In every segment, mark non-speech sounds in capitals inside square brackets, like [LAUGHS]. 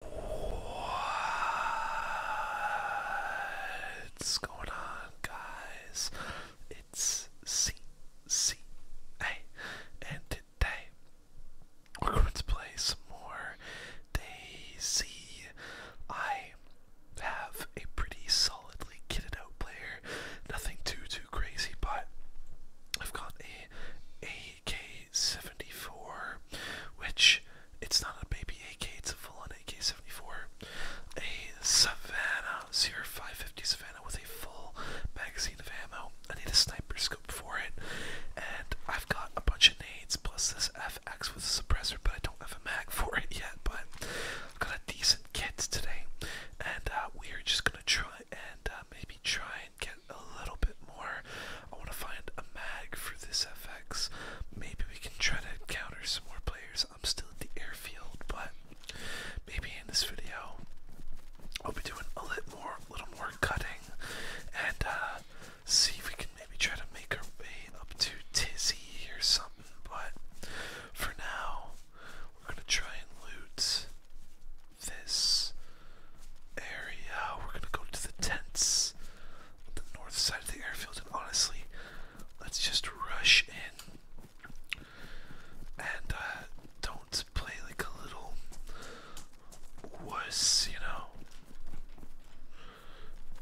What's going on, guys? It's CCA, and today we're going to play some more Daisy. I have a pretty solidly kitted out player, nothing too too crazy, but I've got a a AK-74, which it's not a baby AK, it's a full-on AK-74. A Savannah 0550 Savannah with a full magazine of ammo. I need a sniper scope for it, and I've got a bunch of nades plus this FX with a suppressor, but I don't have a mag for it yet. But I've got a decent kit today, and uh, we are just gonna try and uh, maybe try and. Get a little bit more. I want to find a mag for this FX. Maybe we can try to counter some more players. I'm still at the airfield, but maybe in this video I'll be doing a little more, little more cutting, and uh, see if we can maybe try to make our way up to Tizzy or something. But for now, we're gonna try and loot this area. We're gonna go to the tents on the north side of the airfield, and honestly, let's just rush in and uh, don't play like a little wuss, you know.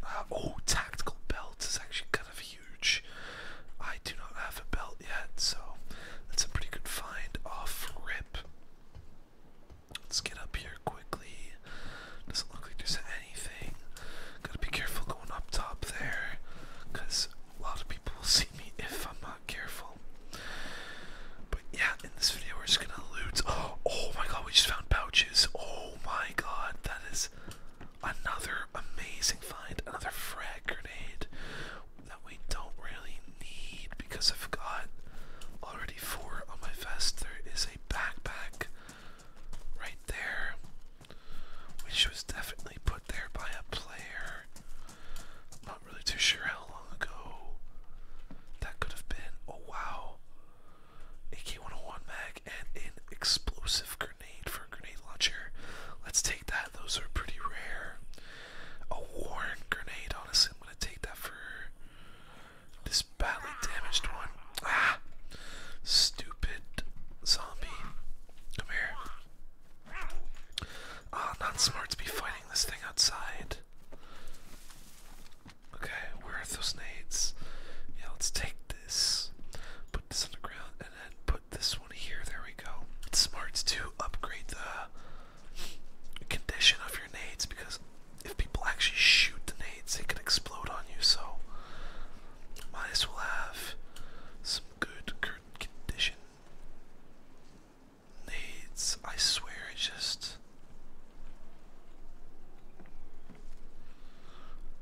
Uh, oh, tactical belt is actually kind of huge. I do not have a belt yet, so that's a pretty good find off rip. Let's get up here quickly. Doesn't look like there's anything. Gotta be careful going up top there, because a lot of people will [LAUGHS] see me if I'm not careful. But yeah, in this video, we're just gonna loot. [GASPS] Oh my god, we just found pouches. Oh my god, that is another amazing find. Another frag grenade that we don't really me because I've got already four on my vest. There is a backpack right there, which was definitely put there by a player. am not really too sure how long ago that could have been. Oh wow. AK-101 mag and an explosive grenade for a grenade launcher. Let's take that. Those are pretty rare. A worn grenade, honestly. I'm gonna take that for this badly damaged one. Ah! Stupid zombie. Come here. Ah, not smart to be fighting this thing outside. Okay, where are those nades? Yeah, let's take this. Put this on the ground and then put this one here. There we go. It's smart to upgrade the condition of your nades because if people actually shoot the nades, they could explode on you. So might as well have some good condition nades. I swear, it just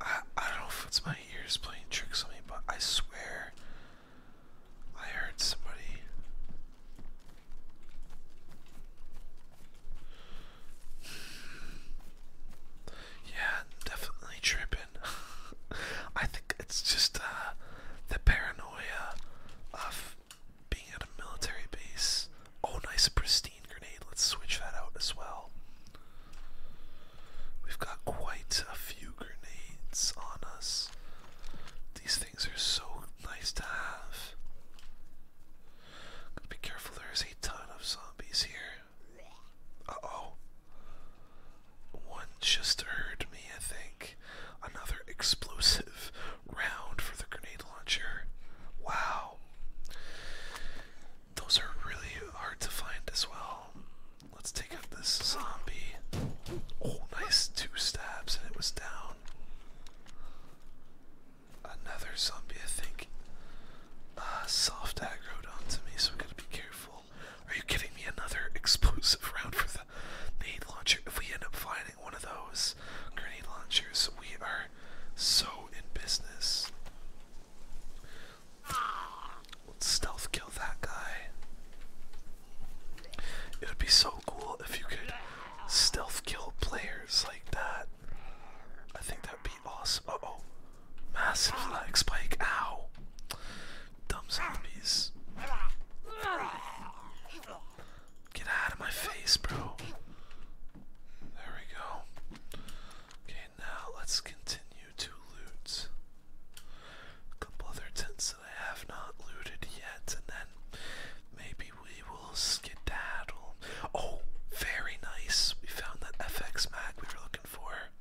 I I don't know if it's my ears playing tricks on me, but I swear I heard somebody yeah, definitely tripping. [LAUGHS] I think it's just uh, the paranoia of being at a military base. Oh, nice pristine grenade. Let's switch that out as well. We've got quite a few grenades on us. These things are so nice to have. Gotta be careful, there's a ton of zombies here. Uh oh. One just heard me, I think. Another explosive round for the grenade launcher. Wow. Those are really hard to find as well. Let's take out this zombie. Oh, nice two stabs, and it was down. Another zombie, I think. Uh, soft aggroed onto me, so we gotta be careful. Are you giving me another explosive round for the nade launcher? If we end up finding one of those grenade launchers, we are so in business. Let's stealth kill that guy. It would be so cool if you could stealth kill players like that. I think that'd be awesome. Uh oh. Massive lag spike. Ow. Dumb zombies. Get out of my face, bro. There we go. Okay, now let's continue to loot. A couple other tents. I have not looted yet, and then maybe we will skedaddle. Oh, very nice. We found that FX Mac we were looking for.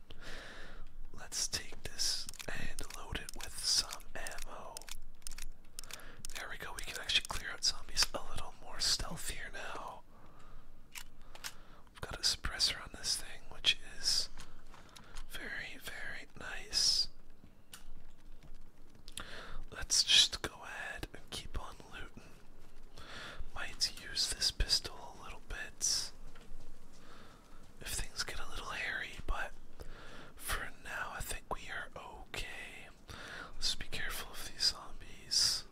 Let's take this and load it with some ammo. There we go, we can actually clear out zombies a little more stealthier now. We've got a suppressor on this thing, which is very, very nice. Let's just go ahead and keep on looting. Might use this pistol a little bit if things get a little hairy, but for now I think we are okay. Let's be careful of these zombies.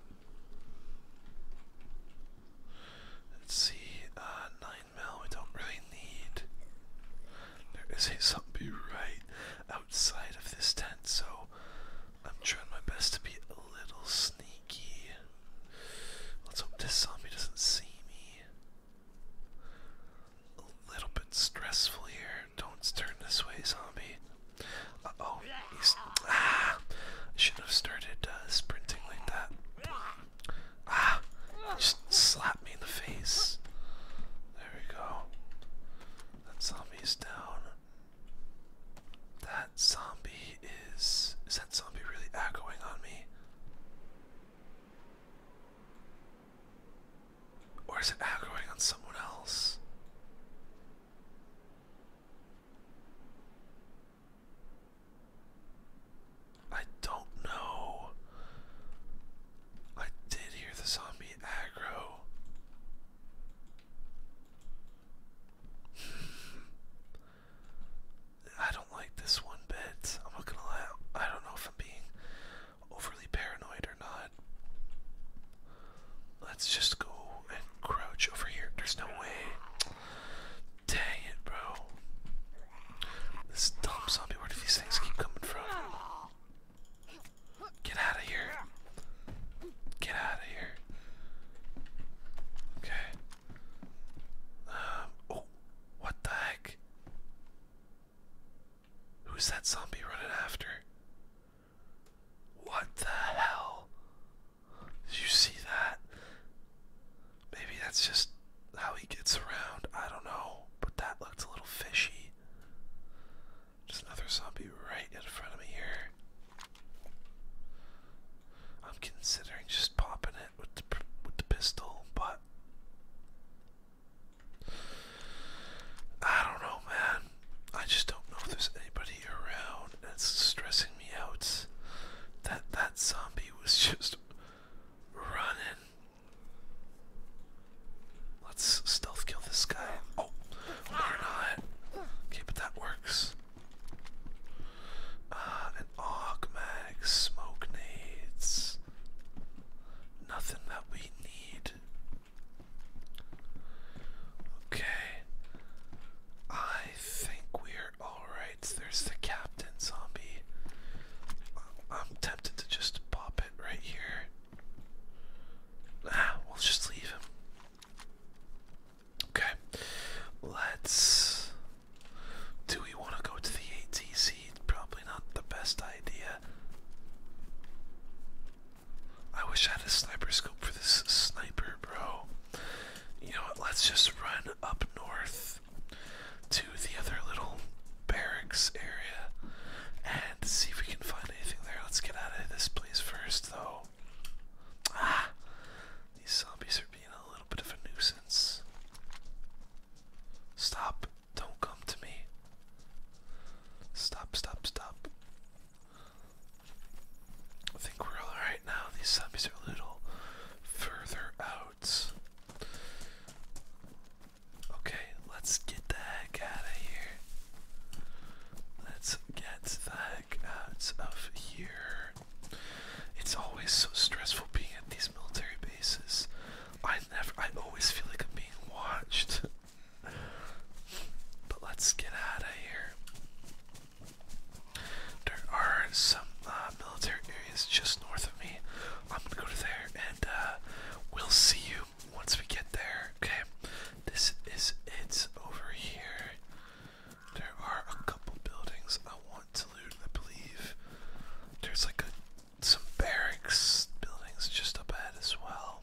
Let's see, uh, 9 mil we don't really need. There is a zombie right outside of this tent, so I'm trying my best to be a little sneaky. Let's hope this zombie doesn't see me. A little bit stressful here. Don't turn this way, zombie. Uh oh, he's. Ah! I should have started uh, sprinting like that. Ah, just slap me in the face. There we go. That zombie's down. That zombie is. Is that zombie really echoing on me? Or is it echoing on someone else? I don't know. I did hear the zombie aggro. [SIGHS] I don't like this one bit. I'm not gonna lie. I don't know if I'm being overly paranoid or not. Let's just go and crouch over here. There's no way. Dang it, bro. This dumb zombie, where do these things keep coming from? Get out of here. Get out of here. Okay. Um, oh, what the heck? Who's that zombie running after? What the hell? Did you see that? Maybe that's just how he gets around. I don't know, but that looked a little fishy. Just another zombie right in front of me here. I'm considering just popping it with the with the pistol, but I don't know, man. I just don't know if there's anybody around. It's stressing me out. That that zombie was just running Let's stealth kill this guy. Oh, we're not. Okay, but that works. Uh, an augmatic, smoke nades. Nothing that we need. Okay. I think we're alright. There's the captain zombie. I'm tempted to just pop it right here. Ah, we'll just leave him. Okay, let's. Do we want to go to the ATC? Probably not the best idea. I wish I had a sniper scope for this sniper, bro. You know what? Let's just run up north to the other little barracks area and see if we can find anything there. Let's get out of this place first, though. Ah! These zombies are being a little bit of a nuisance. Stop. Don't come to me. Stop, stop, stop. I think we're alright now. These zombies are a little further out. Okay, let's get the heck out of here. Let's get the heck out of here. It's always so stressful being at these military bases. I never, I always feel like I'm being watched. [LAUGHS] but let's get out of here. There are some uh, military is just north of me. I'm gonna go to there and uh, we'll see you once we get there. Okay, this is it's over here. There are a couple buildings I want to loot, I believe. There's like a, some barracks buildings just up ahead as well.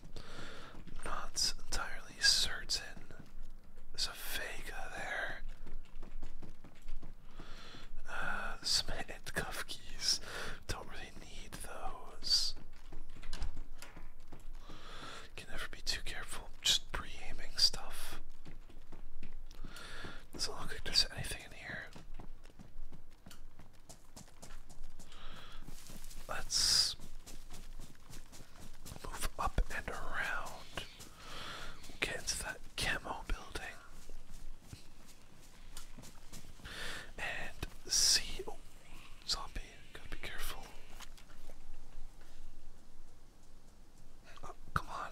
not entirely certain. There's a Vega there. Uh, some handcuff keys. Don't really need those. Can never be too careful. Just pre-aiming stuff. Doesn't look like there's anything in here. Let's move up and around. get into that camo building. And C. zombie. Gotta be careful. Oh, come on.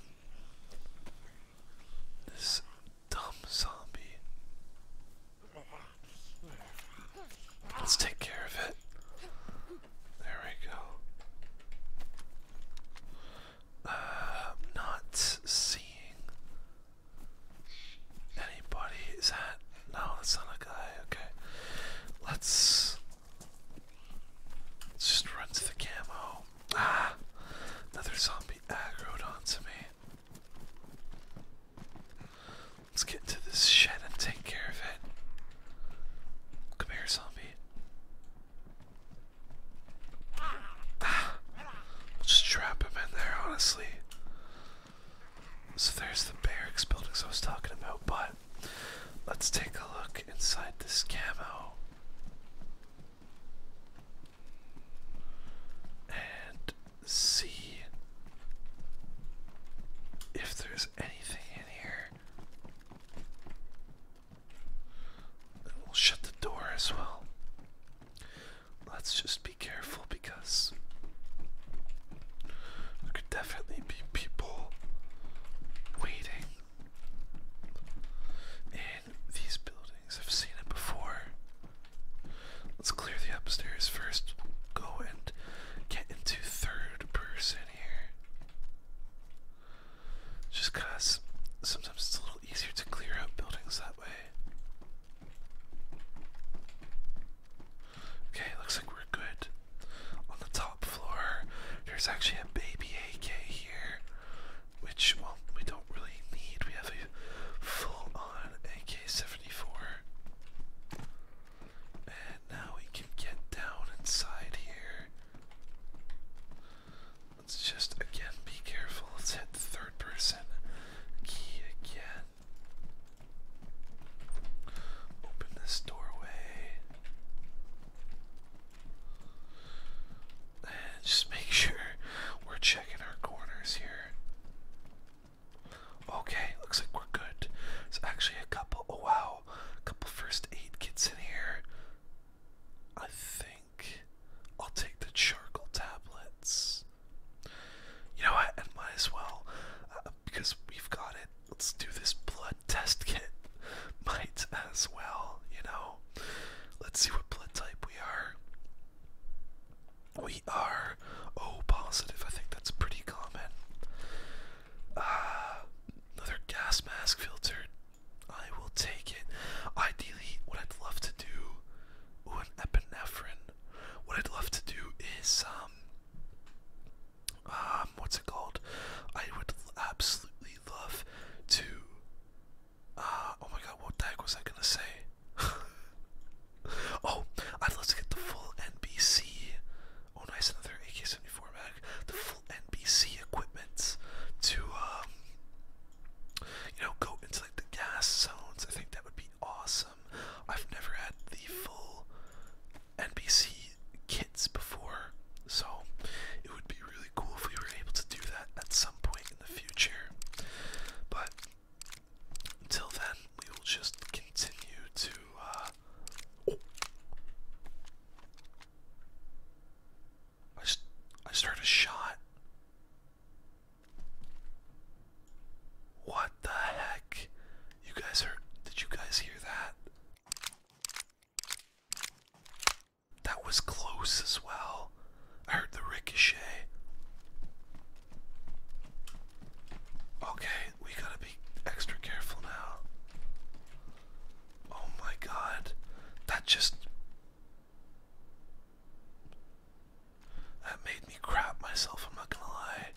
This dumb zombie. Let's take care of it. There we go. Uh, I'm not seeing anybody. Is that no? That's not a guy. Okay, let's, just run to the camo. Ah, another zombie aggroed onto me. Let's get into this shed and take care of it. Come here, zombie. We'll just trap him in there, honestly. So there's the barracks buildings I was talking about, but let's take a look inside this camo. And see if there's anything in here. We'll shut the door as well. Let's just be careful because there could definitely be people waiting in these buildings. I've seen it before. Let's clear the upstairs 1st go and get into third person here. Just because sometimes it's a little easier to clear out buildings that way. Okay, looks like we're good. On the top floor, there's actually a baby AK here, which, well, we don't really need. We have a full on AK 74. And now we can get down inside here. Let's just again be careful. Let's hit the third person key again. Open this doorway. And just make sure we're checking our corners here. Okay, looks like we're good. There's actually a couple, oh wow, a couple first aid kits in here. I think. I'll take the charcoal tablets. You know what? And might as well, uh, because we've got it. Let's do this blood test kit. [LAUGHS] Might as well, you know. Let's see what blood type we are. We are O positive. I think that's pretty common. Uh, another gas mask filter. I will take it. Ideally, what I'd love to do, ooh, epinephrine. What I'd love to do is, um, um, what's it called? I would absolutely love to, uh, oh my god, what the heck was I gonna say? [LAUGHS] oh, I'd love to get the full NBC. Oh, nice, another AK-74 before the full NBC equipment to um, you know go into like the gas zones. I think that would be awesome. I've never had the full NBC kits before, so it would be really cool if we were able to do that at some point in the future. But until then, we will just continue to. Uh, oh. I just, I just heard a shot. What the heck? You guys heard? Did you guys hear that? That was close as well. I heard the ricochet. Okay, we gotta be extra careful now. Oh my god. That just. That made me crap myself, I'm not gonna lie.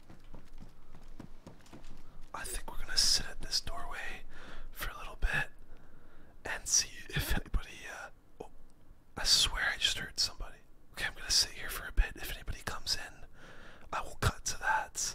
I think we're gonna sit at this doorway for a little bit and see if anybody. Uh, oh, I swear I just heard somebody. Okay, I'm gonna sit here for a bit. If anybody comes in, I will cut to that.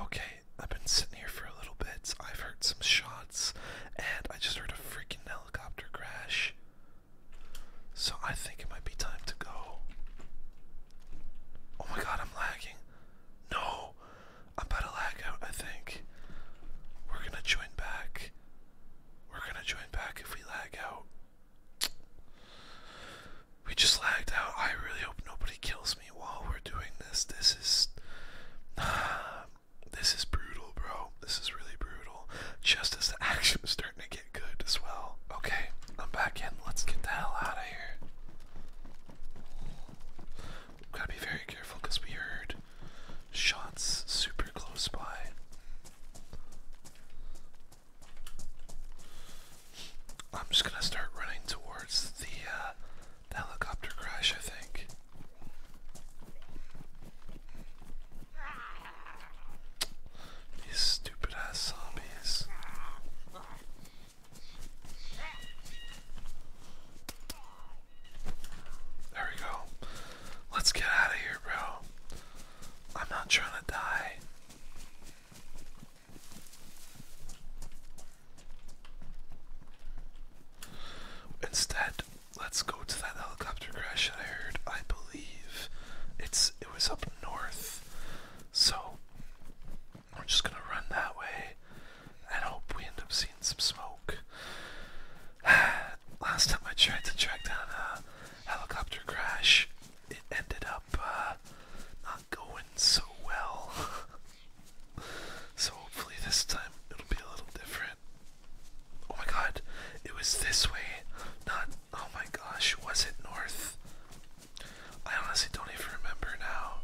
Okay, I've been sitting here for a little bit. I've heard some shots, and I just heard a freaking helicopter crash. So I think it might be time to go. Oh my god, I'm lagging. No, I'm about to lag out, I think. We're gonna join back. We're gonna join back if we lag out. We just lagged out. I really hope nobody kills me while we're doing this. This is. [SIGHS] this is brutal, bro. This is really brutal. Just as the [LAUGHS] action is starting to get good as well. Okay, I'm back in. Let's get the hell out of here. We've gotta be very careful because we heard shots super close by. I'm just gonna start running towards uh, the, helicopter crash, I think. These stupid ass zombies. There we go. Let's get out of here, bro. I'm not trying to die. Instead, let's go to that helicopter crash that I heard. I believe it's it was up north. So we're just gonna run that way and hope we end up seeing some smoke. [SIGHS] [SIGHS] last time I tried to track down a helicopter crash, it ended up uh, not going so well. [LAUGHS] so hopefully this time it'll be a little different. Oh my god, it was this way, not. Oh my gosh, was it north? I honestly don't even remember now.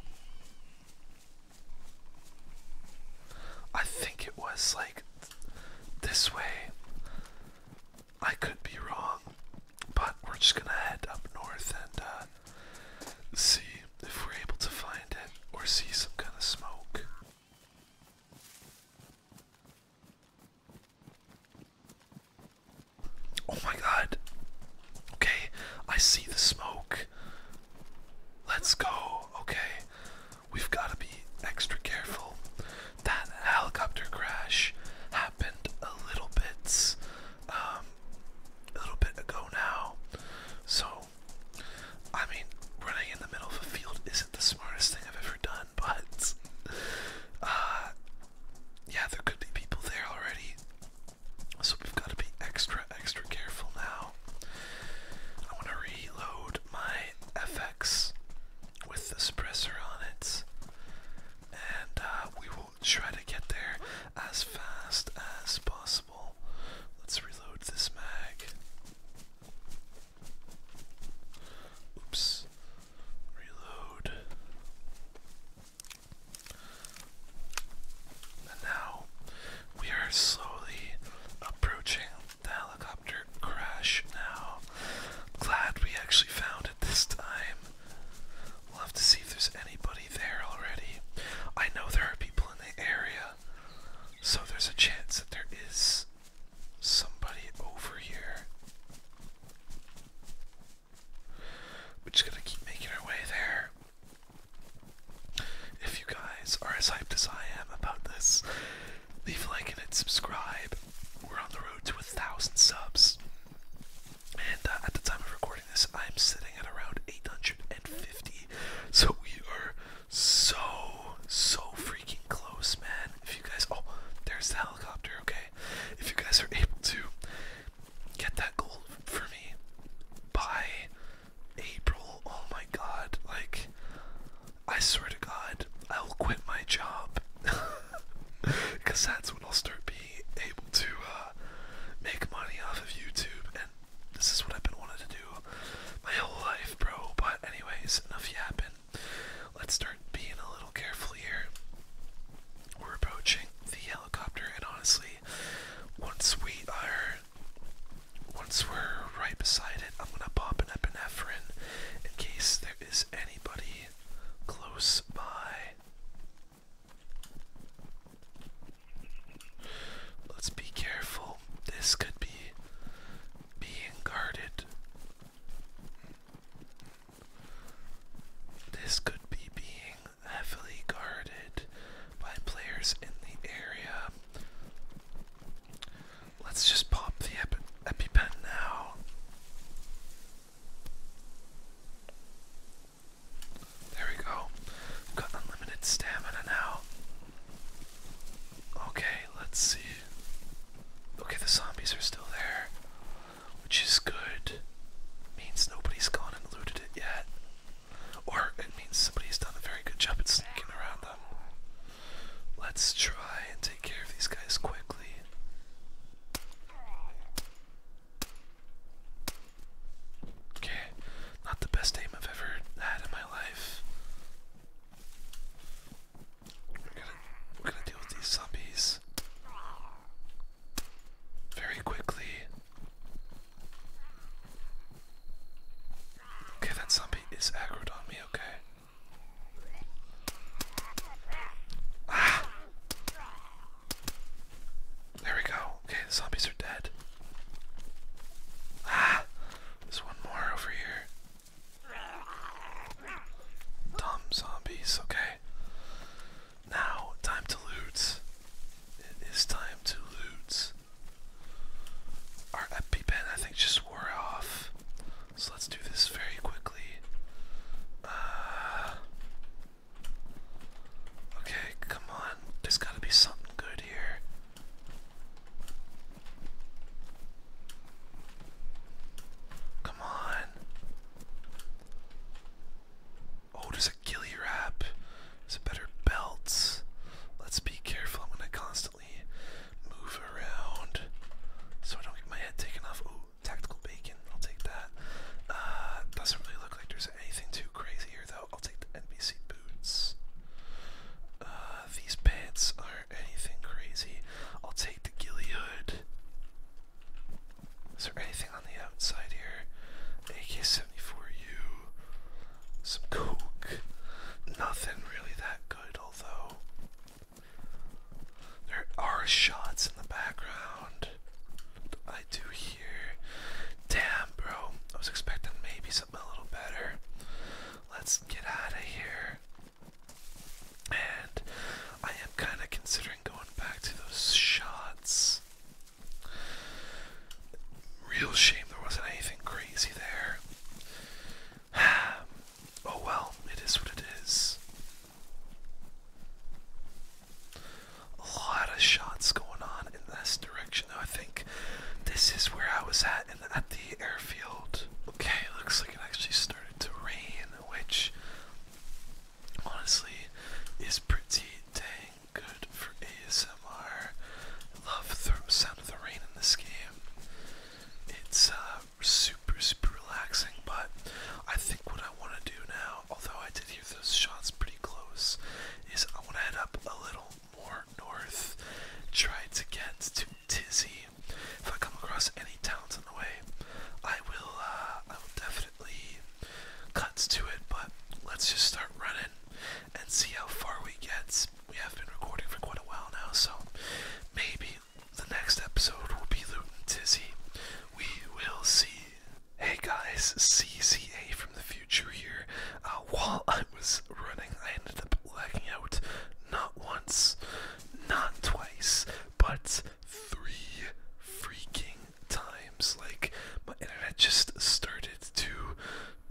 I think it was like this way. I could be wrong, but we're just gonna head up north and uh, see if we're able to find it or see some kind of smoke. Oh my god. Okay, I see the smoke. Let's go. Okay we've got to be extra careful. That helicopter crash happened a little bit, um, a little bit ago now. So, I mean, running in the middle of a field isn't the smartest thing I've ever done, [LAUGHS] but, uh, yeah, there could be people there already. So we've got to be extra, extra careful now. I want to reload my FX with the suppressor on it. And uh, we will try to get there as fast as possible. Let's reload this mag. Oops. Reload. And now we are slowly approaching the helicopter crash now. Glad we actually found it this time. We'll have to see if there's anybody there already. I know there are people in the area, so there's a chance that there is somebody over here. We're just gonna keep making our way there. If you guys are as hyped as I am about this, leave a like and hit subscribe we're on the road to a thousand subs. And uh, at the time of recording this, I'm sitting at around 850. So we are so, so freaking close, man. If you guys, oh, there's the helicopter, okay? If you guys are able to get that goal for me by April, oh my god, like, I swear to God, I will quit my job because [LAUGHS] that's when I'll start being able to uh, make money off of YouTube, and this is what I've been wanting to do my whole life, bro. But anyways, enough yapping. Let's start being a little careful here. We're approaching the helicopter, and honestly, once we are we're right beside it, I'm gonna pop an epinephrine in case there is anybody close by. Let's be careful. This could be being guarded. This could be being heavily guarded by players in the area. Let's just pop the Epi EpiPen now. There we go. got unlimited stamina now. Okay, let's see. Okay, the zombies are still there, which is good. Means nobody's gone and looted it yet. Or it means somebody's done a very good job at sneaking around them. Let's try and take care of these guys quickly. Okay, not the best aim I've ever had in my life. We're gonna, we're gonna deal with these zombies very quickly. Okay, that zombie is aggroed on me, okay? Ah. There we go. Okay, the zombies are dead. Ah, there's one more over here. Dumb zombies, okay. Now, time to loot. It is time to loot. Our EpiPen, I think, just wore off. So let's do this very quickly. Uh, okay, come on. There's gotta be something good here. Come on. Oh, there's a ghillie wrap. There's a better belt. Let's be careful. I'm gonna constantly move around so I don't get my head taken off. Oh, tactical bacon, I'll take that. Uh, doesn't really look like there's anything too crazy here though. I'll take the NBC boots. Uh, these pants aren't anything crazy. I'll take the ghillie hood. Is there anything on the outside here? AK-74U. Some coke. Nothing really that good well, There are shots in the background. I do hear. Damn, bro. I was expecting maybe something a little better. Let's get out of here. And I am kind of considering going back to those shots. Real shame there wasn't anything crazy there. [SIGHS] oh well, it is what it is. A lot of shots going on in this direction, though. I think this is where I was at, and at the airfield. Okay, looks like it actually started to rain, which honestly is pretty dang good for ASL. I love the sound of the rain in this game. It's uh, super, super relaxing, but I think what I want to do now, although I did hear those shots pretty close, is I want to head up a little more north, try to get to Tizzy. If I come across any towns on the way, I will, uh, I will definitely cut to it, but let's just start running and see how far we get we have been recording for quite a while now, so maybe the next episode will be Loot and Tizzy. We will see. Hey guys, CZA from the future here. Uh, while I was running, I ended up lagging out not once, not twice, but three freaking times. Like, my internet just started to,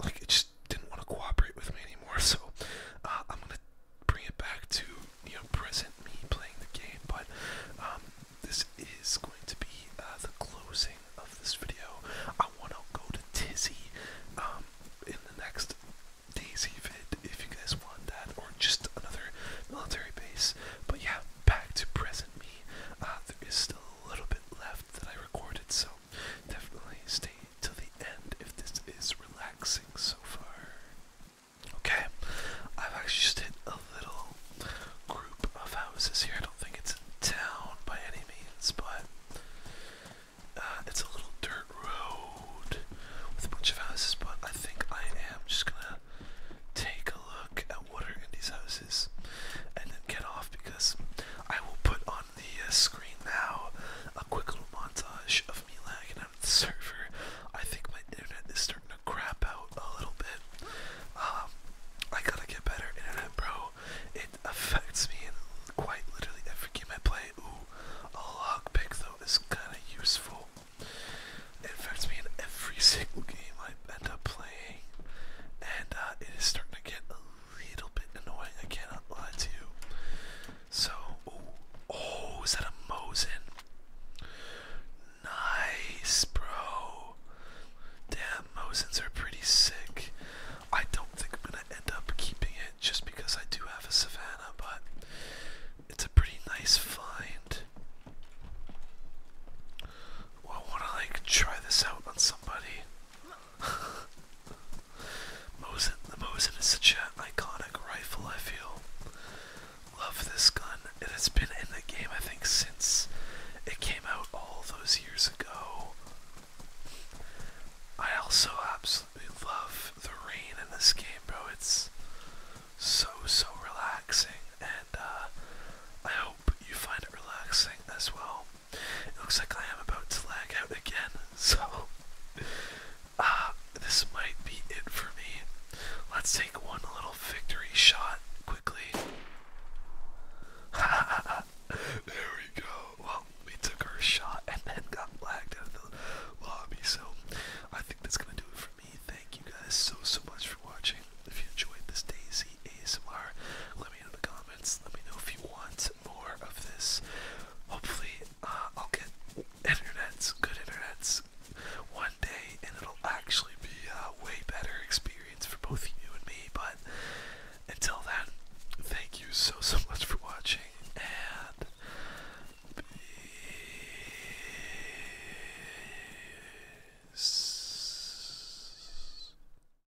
like, it just didn't want to cooperate with me anymore. So uh, I'm gonna bring it back to you know present me playing the game. But um, this is going to be uh, the closing of this video. I want to go to Tizzy um, in the next Daisy vid if you guys want that, or just another military base. But yeah, back to present me. Uh, there is still a little bit left that I recorded, so definitely stay to the end if this is relaxing so far. Okay, I've actually just hit a little group of houses here. I don't think it's in town by any means, but uh, it's a little dirt road with a bunch of houses. But I think I am just gonna take a look at what are in these houses and then get off because I will put on the uh, screen now a quick little montage of me lagging out of the server. I think my internet is starting to crap out a little bit. Um, I gotta get better internet, bro. It affects me in quite literally every game I play. Ooh, a lockpick though is kind of useful. It affects me in every [LAUGHS] single game I end up playing, and uh, it is starting to get little bit annoying, I cannot lie to you. So, oh, is that a Mosin? Nice, bro. Damn, Mosins are pretty sick. I don't think I'm gonna end up keeping it just because I do have a Savannah, but it's a pretty nice find. I wanna like try this out on somebody. [LAUGHS] Mosin, the Mosin is such an iconic rifle, I feel. Love this gun. It has been in the game, I think, since it came out all those years ago. I also absolutely love the rain in this game, bro. It's so, so relaxing, and uh, I hope you find it relaxing as well. It looks like I am about to lag out again, [LAUGHS] so uh, this might be it for me. Let's take one little victory shot quickly. [LAUGHS] there we go. Well, we took our shot and then got lagged out of the lobby, so I think that's gonna do it for me. Thank you guys so so much for watching. If you enjoyed this Daisy ASMR, let me know in the comments. Let me know if you want more of this. Hopefully, uh, I'll get internets, good internets, one day, and it'll actually be a way better experience for both you and me. But until then, thank you so, so much for watching, and peace.